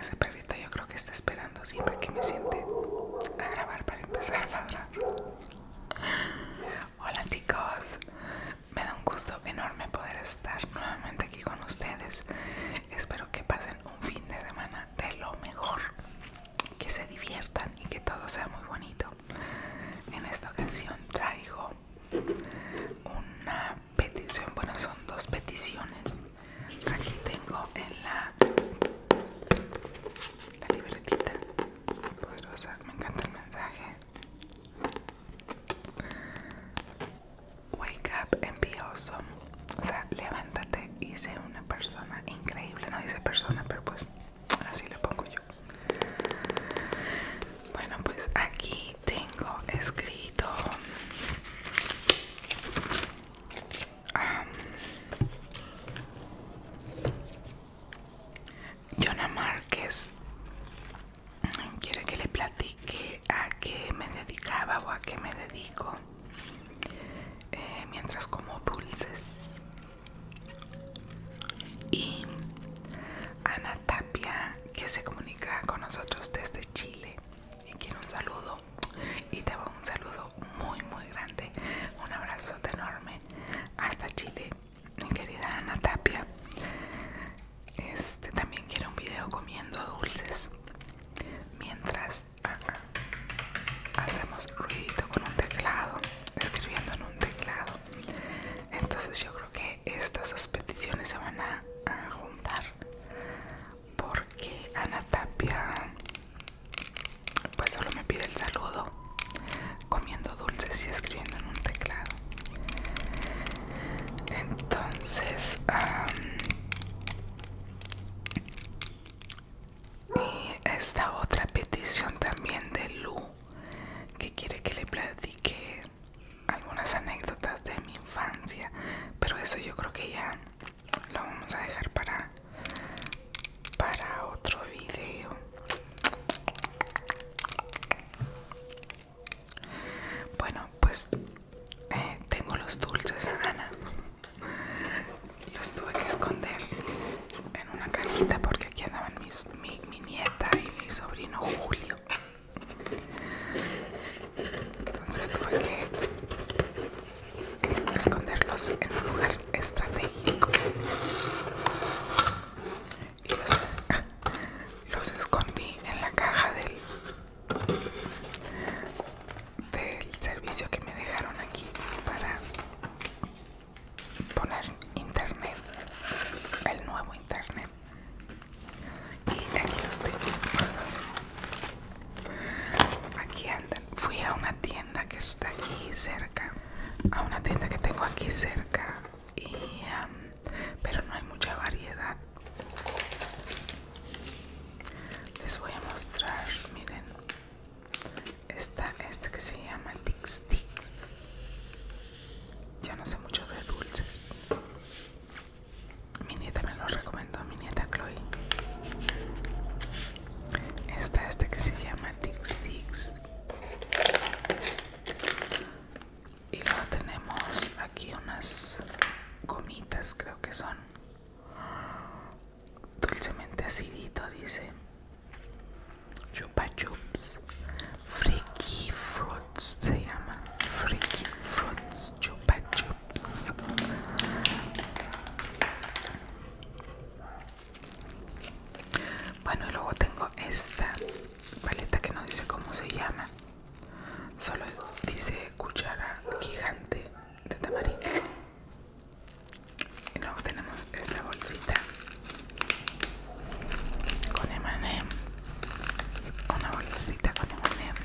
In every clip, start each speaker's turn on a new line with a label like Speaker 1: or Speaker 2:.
Speaker 1: Ese perrito yo creo que está esperando siempre que me siente a grabar para empezar a ladrar. Hola chicos, me da un gusto enorme poder estar nuevamente aquí con ustedes. Espero que pasen un fin de semana de lo mejor que se diviertan y que todo sea muy bonito. En esta ocasión traigo una petición, bueno, son dos peticiones. Aquí tengo en la, la libretita poderosa, me encanta el mensaje. Wake up and be awesome. O sea, levántate y sé una persona increíble. No dice persona, pero pues así lo pongo yo. Bueno, pues aquí tengo escrito um, Jonah Márquez quiere que le platique a qué me dedicaba o a qué me dedico eh, mientras como dulces y Ana Tapia que se comunica con nosotros desde Chile y quiero un saludo y te hago un saludo muy muy grande un abrazo enorme hasta Chile mi querida Ana Tapia este también quiero un video comiendo dulces mientras Ah, ah. hacemos ruidito con un teclado, escribiendo en un teclado. Entonces yo creo que estas dos peticiones se van a, juntar porque Ana Tapia pues solo me pide el saludo comiendo dulces y escribiendo en un teclado. Entonces... Y esta otra petición también de Lu, que quiere que le platique algunas anécdotas de mi infancia, pero eso yo creo que ya lo vamos a dejar para para otro video. Bueno, pues eh, tengo los dulces, Ana los tuve que esconder en una cajita porque aquí andaban mi, nieta y mi sobrino Julio. Entonces tuve que esconderlos en un lugar estratégico. Y los, ah, los escondí en la caja del, del servicio que me dejaron aquí para poner internet el nuevo internet y aquí los tengo aquí andan fui a una tienda que está aquí cerca a una tienda que tengo aquí cerca y pero no hay mucha variedad les voy a mostrar miren está este que se llama Tix Tix. Yo no sé mucho de dulces. Mi nieta me lo recomendó, mi nieta Chloe. Está este que se llama Tix Tix. Y luego tenemos aquí unas gomitas, creo que son dulcemente acidito, dice Chupa Chups Freaky Fruits se llama Freaky Fruits Chupa Chups Bueno, y luego tengo esta paleta que no dice cómo se llama Solo dice cuchara gigante de tamarindo y luego tenemos esta bolsita con M&M's una bolsita con M&M's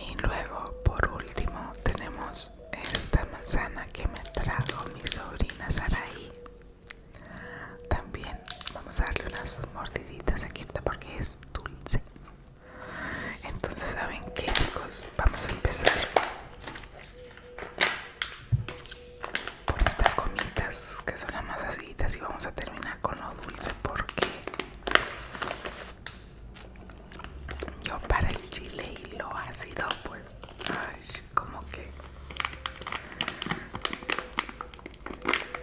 Speaker 1: y luego por último tenemos esta manzana que me trajo mi sobrina Saraí también vamos a darle unas mordiditas aquí porque es dulce entonces, ¿saben qué, chicos? Vamos a empezar con estas comitas, que son las más aciditas y vamos a terminar con lo dulce porque yo para el chile y lo ácido, pues, ay, como que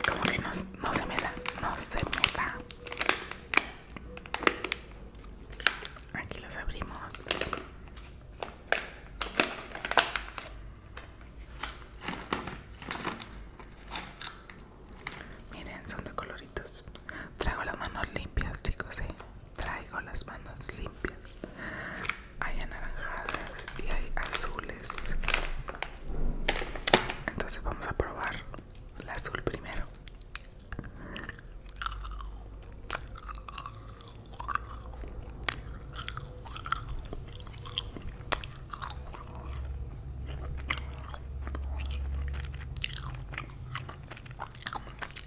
Speaker 1: como que no se me da, no se me da Aquí las abrimos. Miren, son de coloritos. Traigo las manos limpias, chicos, ¿eh? Traigo las manos limpias. Hay anaranjadas y hay azules. Entonces vamos a probar la azul primero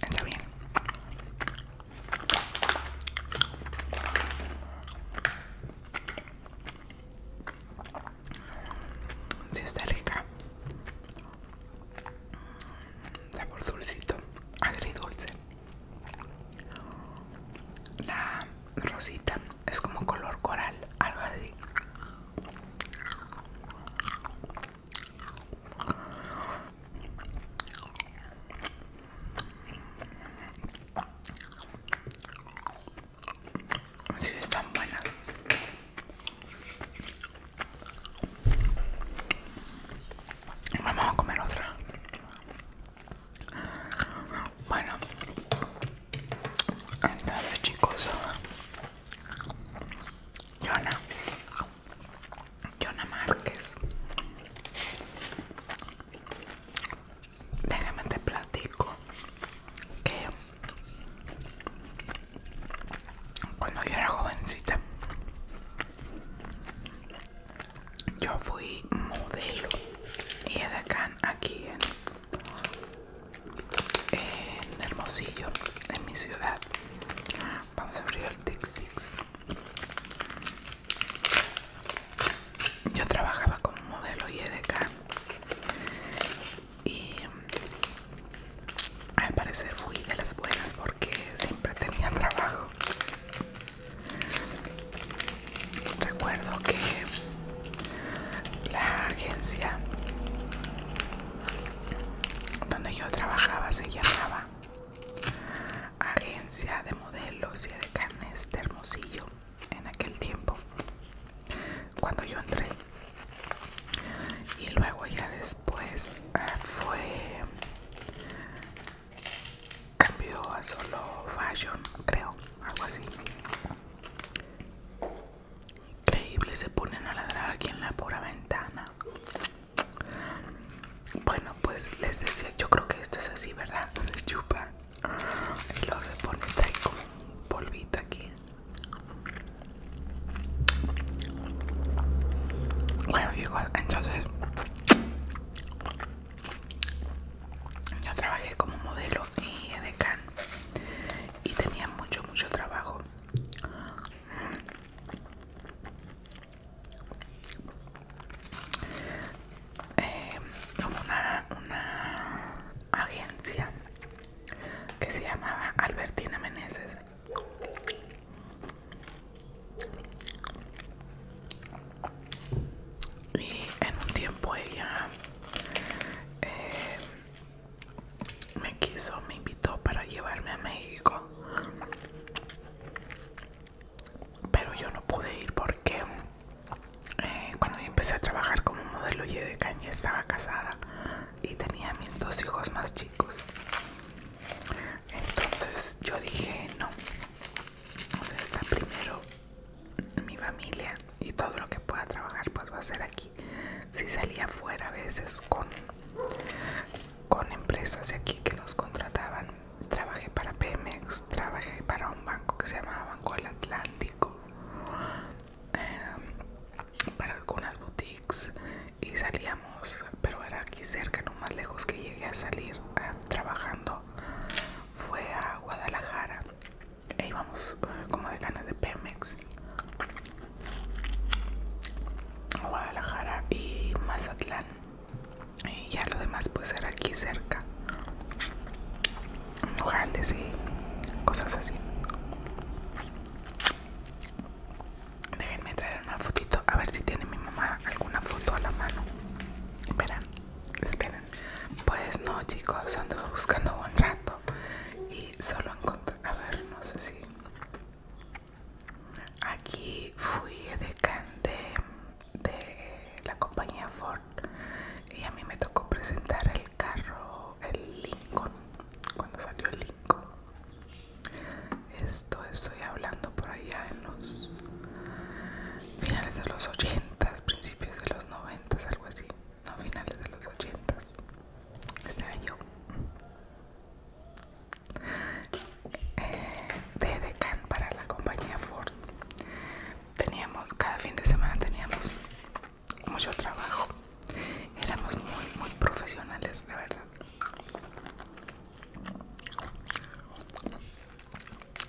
Speaker 1: Está bien. Si está rica. Sabor dulcito, agridulce. La rosita es como color coral, algo así si es tan buena vamos a comer otra bueno entonces chicos Yona Yona Márquez déjame te platico que cuando yo era jovencita, yo fui modelo y edecán aquí en, el Hermosillo, en mi ciudad. Vamos a abrir el Tix Yo trabajaba como modelo y edecán y mm, al parecer fui de las buenas porque siempre tenía trabajo. Recuerdo que la agencia donde yo trabajaba se llamaba Agencia de Modelos y de Carnes de Hermosillo en aquel tiempo cuando yo entré y luego ya después eh, fue cambió a solo fashion creo algo así increíble se ponen a ladrar aquí en la pura ventana bueno pues les decía yo creo que esto es así verdad chupa y luego se pone trae como un polvito aquí bueno entonces yo trabajé como modelo y edecán y tenía mucho, mucho trabajo. Eh, como una, una agencia que se llamaba Albertina Meneses. Y en un tiempo ella eh, me quiso, me invitó para llevarme a México. Pero yo no pude ir porque eh, cuando yo empecé a trabajar como modelo y de caña estaba casada y tenía mis dos hijos más chicos. Entonces yo dije no. está primero mi familia y todo lo que pueda trabajar pues va a ser aquí. Si salía afuera a veces con, con empresas de aquí que nos contrataban, trabajé para Pemex, trabajé para un banco que se llamaba Banco del Atlántico, Em, para algunas boutiques y salíamos, pero era aquí cerca, lo más lejos que llegué a salir trabajando fue a Guadalajara e íbamos eh, como de ganas de Pemex Guadalajara y Mazatlán y ya lo demás pues era aquí cerca lugares y cosas así. Déjenme traer una fotito a ver si tiene mi mamá alguna foto a la mano. Esperan. esperen. Pues no, chicos, Ando buscando un rato y solo encontré. A ver, no sé si. Aquí fui de de, de la compañía Ford y a mí me tocó presentar carro, el Lincoln, cuando salió el Lincoln. Esto estoy hablando por allá en los finales de los 80, principios de los 90, algo así. No, finales de los 80. era yo. de Decan para la compañía Ford. Teníamos, cada fin de semana teníamos mucho trabajo. Éramos muy, muy profesionales, la verdad.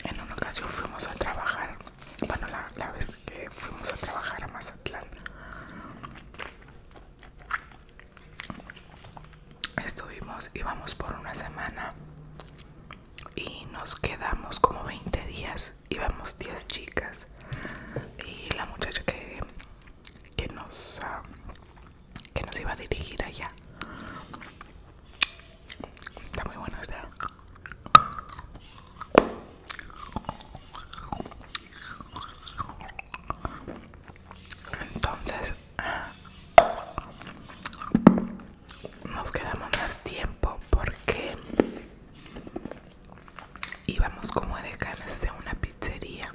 Speaker 1: En una ocasión fuimos a trabajar, bueno, la, la vez que fuimos a trabajar a Mazatlán. Estuvimos, íbamos por una semana y nos quedamos como 20 días íbamos 10 chicas y la muchacha que, que nos ah, que nos iba a dirigir allá está muy buena esta entonces ah, nos quedamos más tiempo porque íbamos como de de una pizzería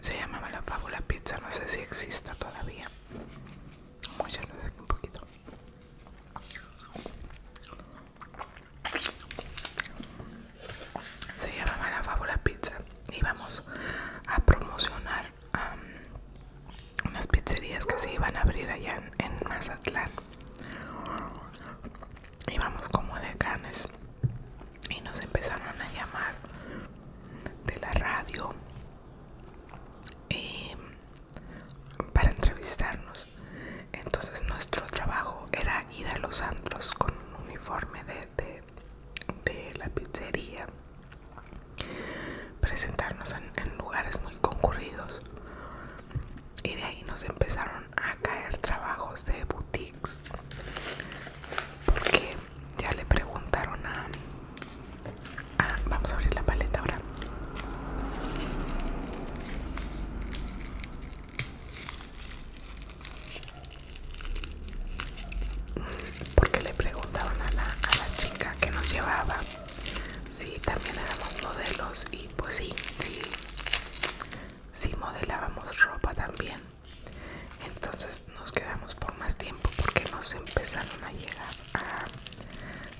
Speaker 1: se llamaba la fábula pizza no sé si exista todavía vamos un poquito se llamaba la fábula pizza íbamos a promocionar A unas pizzerías que se iban a abrir allá en, Mazatlán. Íbamos como de canes y nos empezaron a llamar de la radio para entrevistarnos. Entonces nuestro trabajo era ir a los andros con un uniforme de, la pizzería, presentarnos en lugares muy concurridos y de ahí nos empezaron a caer trabajos de boutiques porque ya le preguntaron a, vamos a abrir la paleta ahora porque le preguntaron a la, a la chica que nos llevaba si también éramos modelos y pues sí sí modelábamos ropa también entonces nos quedamos por más tiempo porque nos empezaron a llegar a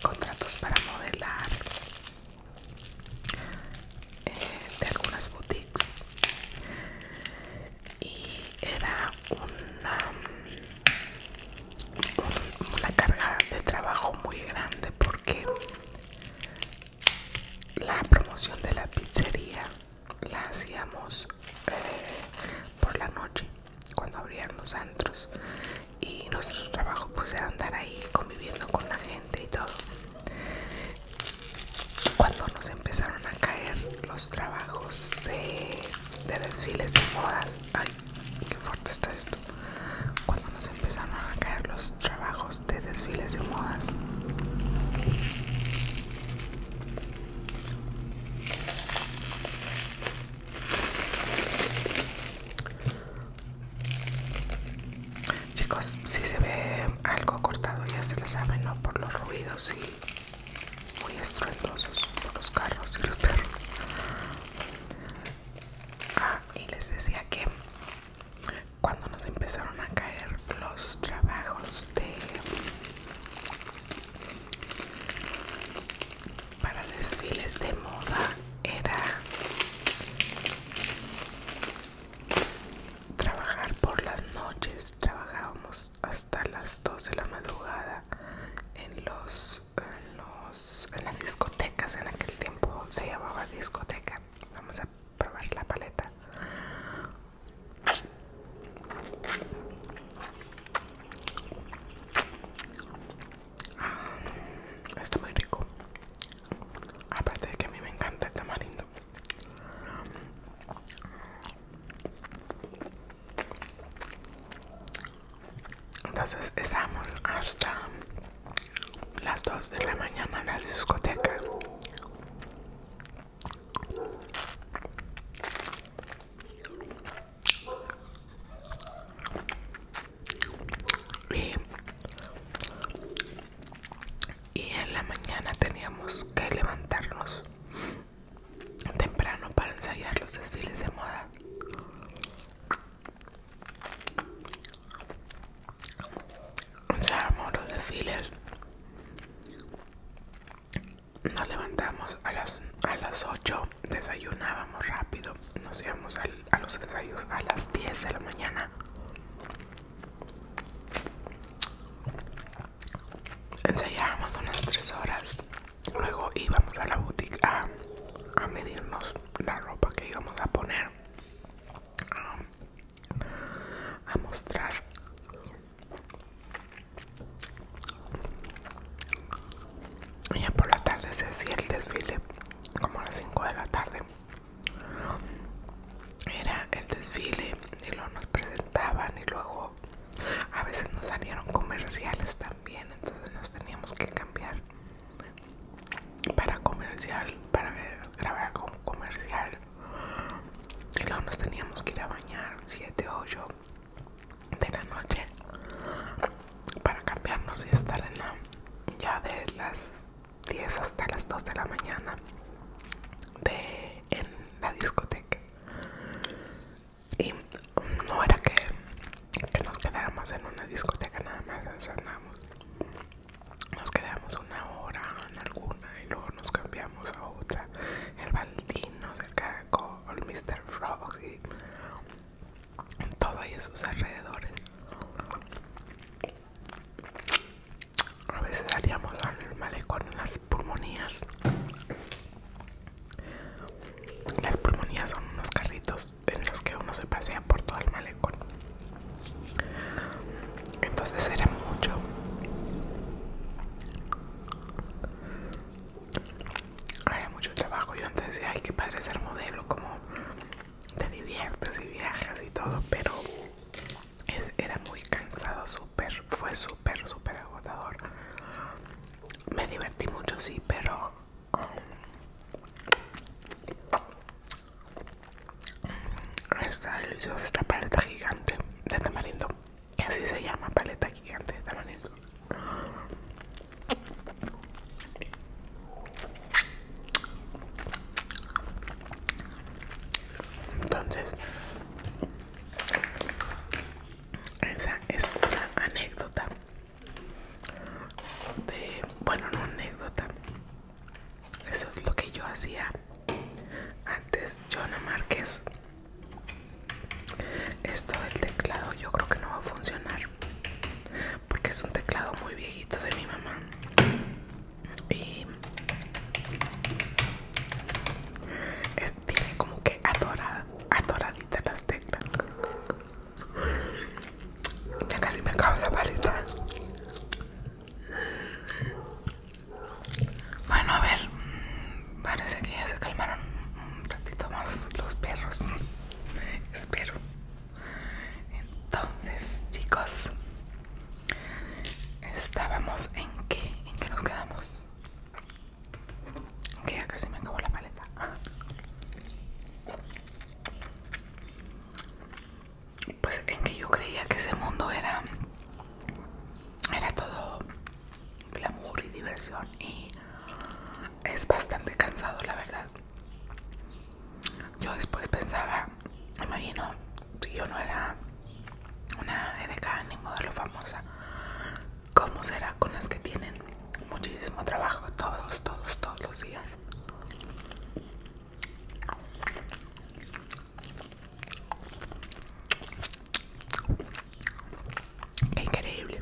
Speaker 1: contratos para modelar eh, de algunas boutiques y era una una carga de trabajo muy grande porque la promoción de la pizzería la hacíamos eh, por la noche cuando abrían los antros y nuestro trabajo pues era andar ahí conviviendo con la gente y todo cuando nos empezaron a caer los trabajos de, desfiles de modas Qué fuerte está esto. Cuando nos empezaron a caer los trabajos de desfiles de modas. Chicos, si se ve algo cortado ya se les saben ¿no? Por los ruidos y muy estruendosos por los carros y los perros. Ah, y les decía que cuando nos empezaron a caer los trabajos de para desfiles de moda era trabajar por las noches trabajábamos hasta las 2 de la madrugada en los en, las discotecas en aquel tiempo se llamaba discoteca vamos a probar la paleta ah, está muy rico aparte de que a mí me encanta el tamarindo entonces estábamos hasta las 2 de la mañana en la discoteca y en la mañana teníamos que levantarnos temprano para ensayar los desfiles de moda ensayábamos los desfiles nos levantamos a las, 8 desayunábamos rápido nos íbamos a los ensayos a las 10 de la mañana ensayábamos unas 3 horas Luego íbamos a la boutique a, medirnos la ropa que íbamos a poner, a, mostrar. ya por la tarde se hacía el desfile, como a las 5 de la tarde. Era el desfile y lo nos presentaban y luego a veces nos salieron comerciales también, entonces nos teníamos que cambiar para comercial, para grabar como comercial. Y luego nos teníamos que ir a bañar 7 o 8 de la noche para cambiarnos y estar en la ya de las 10 hasta las 2 de la mañana de, en la discoteca. Y no era que que nos quedáramos en una discoteca nada más, nos Nos quedamos una hora en alguna y luego nos cambiamos a otra. El baldino el Caracol, el Mr. Frog y todo ahí a sus alrededores. A veces haríamos lo normal con las pulmonías. Las pulmonías son unos carritos en los que uno se pasea por todo el malecón. Entonces era mucho. Era mucho trabajo. Yo antes decía, ay, que padre ser modelo, como te diviertes y viajas y todo, pero era muy cansado, súper, fue súper, súper agotador. Me divertí mucho, sí, pero esta paleta gigante de tamarindo, que así se llama paleta gigante de tamarindo. Entonces, esa es una anécdota de bueno una anécdota eso es lo que yo hacía antes Johanna Márquez esto del teclado yo creo que no va a funcionar porque es un teclado muy viejito de mi mamá y tiene como que atorada, atoradita las teclas ya casi me acabo la paleta. Bueno, a ver. Mm, parece que ya se calmaron un ratito más los perros. Espero. Entonces, chicos. Estábamos en qué? ¿En qué nos quedamos? Que ya casi me acabó la paleta. pues en que yo creía que ese mundo era era todo glamour y diversión y es bastante cansado la verdad yo después pensaba imagino si yo no era una EDK ni modelo famosa cómo será con las que tienen muchísimo trabajo todos, todos, todos los días. increíble.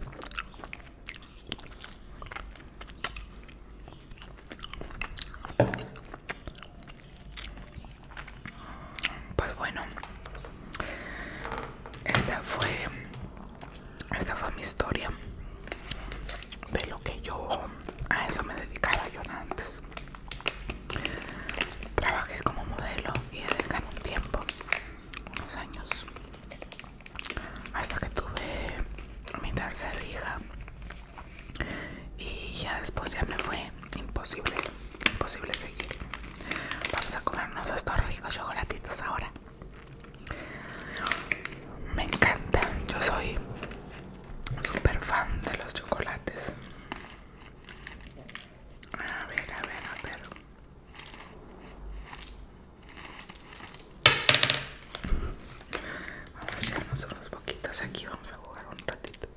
Speaker 1: Pues bueno, esta fue esta fue mi historia de lo que yo a eso me dedicaba yo antes trabajé como modelo y dediqué un tiempo unos años hasta que tuve mi tercer hija y ya después ya me fue imposible imposible seguir vamos a comernos estos ricos chocolatitos ahora me encanta, yo soy super fan de los chocolates. A ver, a ver, a ver. Vamos a echarnos unos poquitos aquí, vamos a jugar un ratito.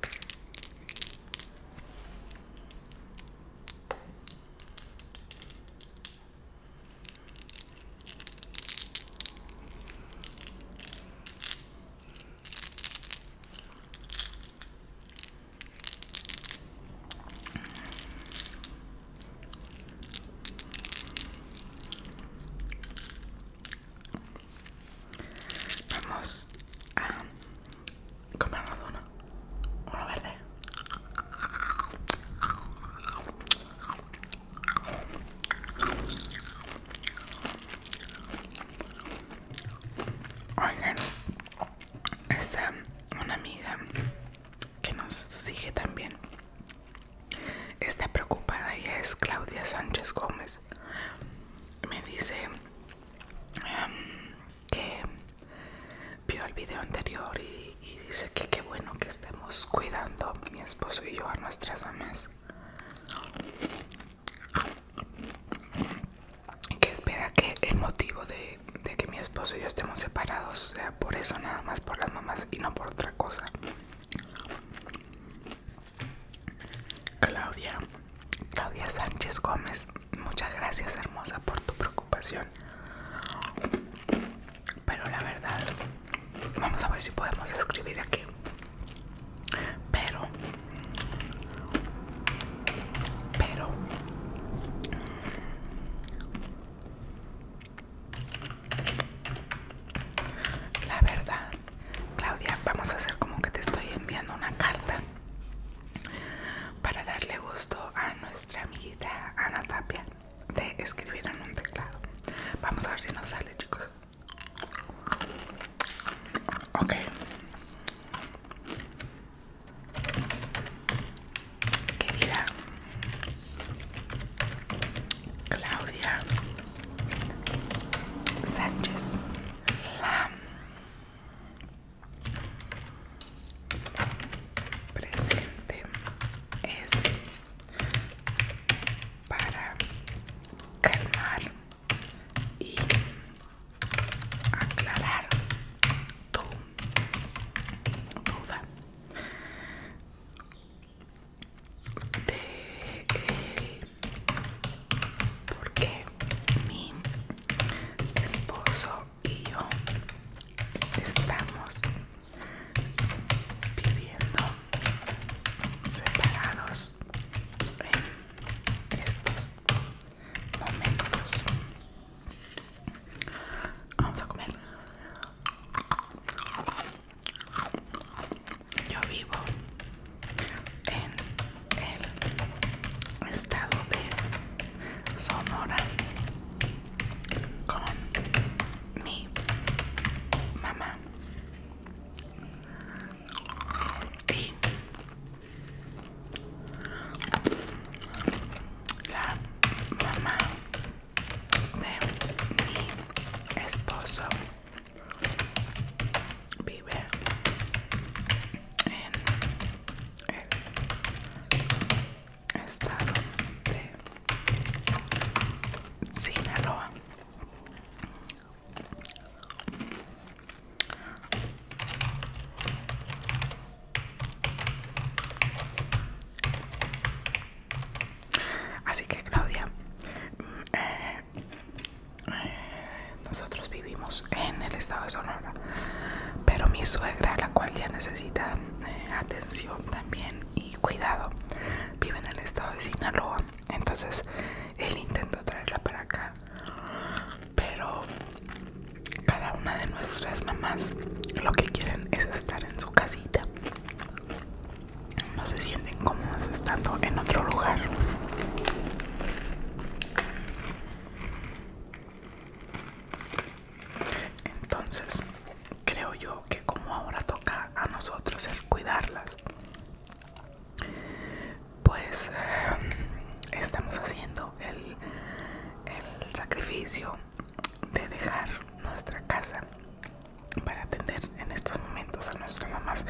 Speaker 1: Vamos a comer uno, uno verde. Oigan, está una amiga que nos sigue también. Está preocupada, y es Claudia Sánchez Gómez. Me dice que vio el video anterior y, dice que qué bueno que estemos cuidando mi esposo y yo a nuestras mamás que espera que el motivo de, de que mi esposo y yo estemos separados sea por eso nada más por las mamás y no por otra cosa Claudia Claudia Sánchez Gómez muchas gracias hermosa por tu preocupación pero la verdad vamos a ver si podemos escribir aquí pero pero la verdad Claudia vamos a hacer como que te estoy enviando una carta para darle gusto a nuestra amiguita Ana Tapia de escribir en un teclado. Vamos a ver si nos sale, chicos. Ok. Querida Claudia Sánchez, Lam presente es para calmar y aclarar tu duda de por qué mi esposo y yo estamos viviendo separados en estos momentos. Vamos a comer. Yo vivo en el estado de Sonora con mi mamá y la mamá de mi esposo vive en el estado de Sinaloa. Así que Claudia, mm, eh, eh, nosotros vivimos en el estado de Sonora, pero mi suegra, la cual ya necesita atención. Eh, también y cuidado. Vive en el estado de Sinaloa, entonces él intento traerla para acá. Pero cada una de nuestras mamás lo que quieren es estar en su casita. No se sienten cómodas estando en otro lugar. Entonces, creo yo que como ahora toca a nosotros el cuidarlas, pues eh, estamos haciendo el, el sacrificio de dejar nuestra casa para atender en estos momentos a nuestras mamás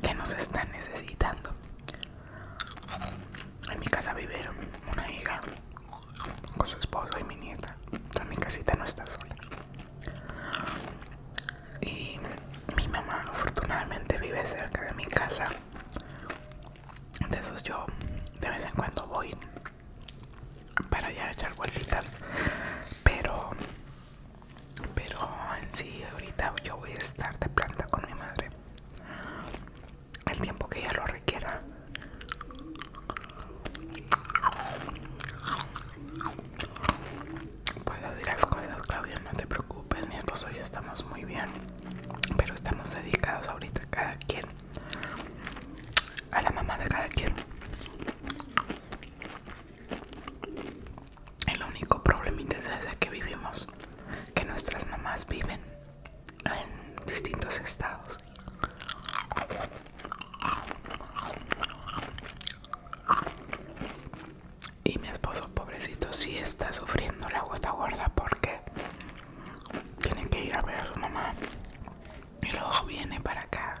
Speaker 1: que nos están necesitando. En mi casa vivieron una hija con su esposo y mi nieta. mi casita no está sola. Y mi mamá afortunadamente vive cerca de mi casa. eso yo de vez en cuando voy para allá echar vueltitas. Pero pero en sí ahorita yo voy a estar de planta con mi madre el tiempo que ella lo requiera Puedo decir las cosas, Claudia, no te preocupes, mi esposo y yo estamos muy bien, pero estamos dedicados ahorita cada quien a la mamá de cada quien. El único problemita es que vivimos, que nuestras mamás viven en distintos estados. Y mi esposo, pobrecito, Si está sufriendo la gota gorda porque tiene que ir a ver a su mamá. Y luego viene para acá.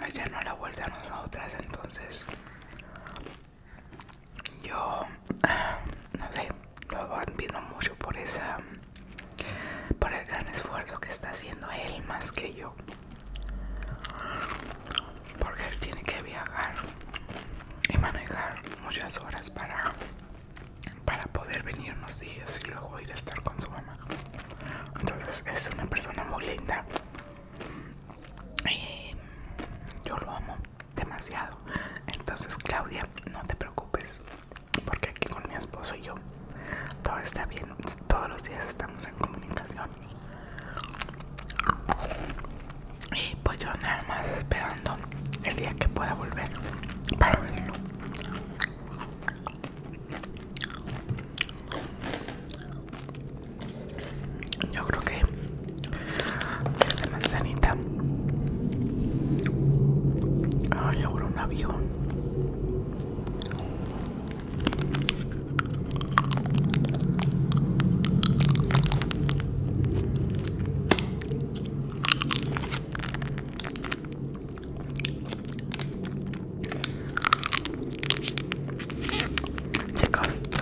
Speaker 1: Allá no la vuelta a nosotras, entonces yo ah, no sé, lo admiro mucho por esa por el gran esfuerzo que está haciendo él más que yo porque él tiene que viajar y manejar muchas horas para para poder venir unos días y luego ir a estar con su mamá entonces es una persona muy linda y yo lo amo demasiado entonces Claudia no te preocupes porque aquí con mi esposo y yo todo está bien, todos los días estamos en comunicación. Y pues yo nada más esperando el día que pueda volver para verlo. Yo creo que esta manzanita. Ah, yo un avión. Chicos, yo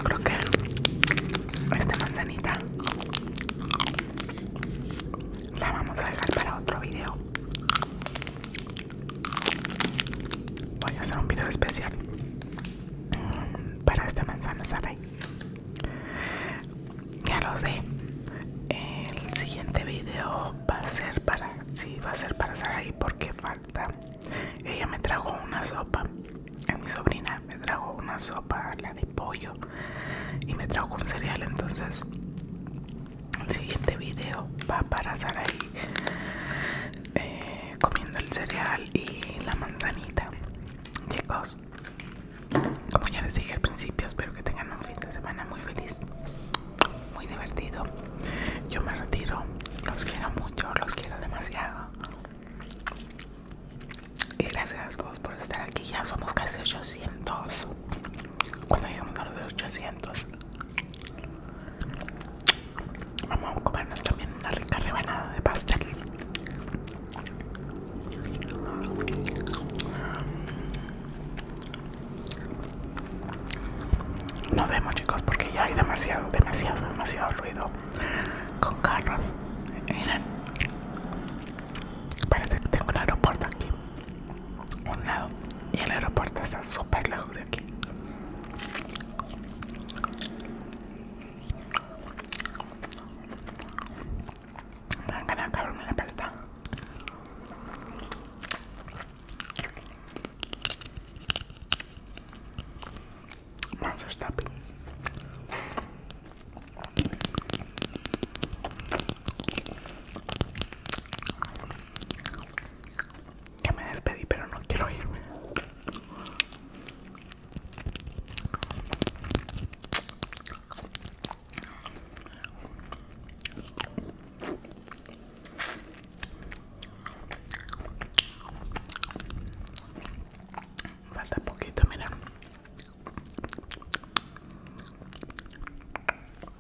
Speaker 1: creo que esta manzanita la vamos a dejar para otro video Voy a hacer un video especial mm, para esta manzana Sarai. Ya lo sé. El siguiente video va a ser para sí, va a ser para Sarai porque falta. Ella me trajo una sopa. mi sobrina me trajo una sopa, la de pollo, y me trajo un cereal. Entonces el siguiente video va para estar ahí eh, comiendo el cereal y la manzanita. Chicos, como ya les dije al principio, espero que tengan un fin de semana muy feliz, muy divertido. Yo me retiro, los quiero mucho, los quiero demasiado. Y gracias a todos por estar aquí, ya somos casi 800 cuando un a los 800 vamos a comernos también una rica rebanada de pastel nos vemos chicos porque ya hay demasiado demasiado demasiado ruido con carros miren parece que tengo un aeropuerto aquí un lado y el aeropuerto está súper lejos de aquí me han ganado de en la paleta vamos a ya me despedí, pero no quiero irme. Falta poquito, mira.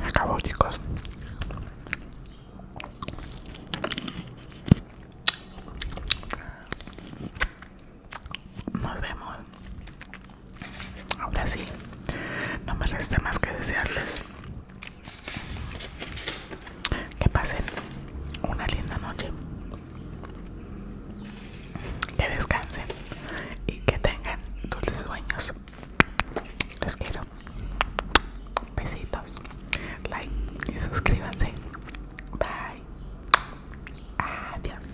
Speaker 1: Me acabo chicos nos vemos ahora sí no me resta más que desearles que pasen una linda noche que descansen y que tengan dulces sueños. Los quiero. Besitos. Like y suscríbanse. Bye. Adiós.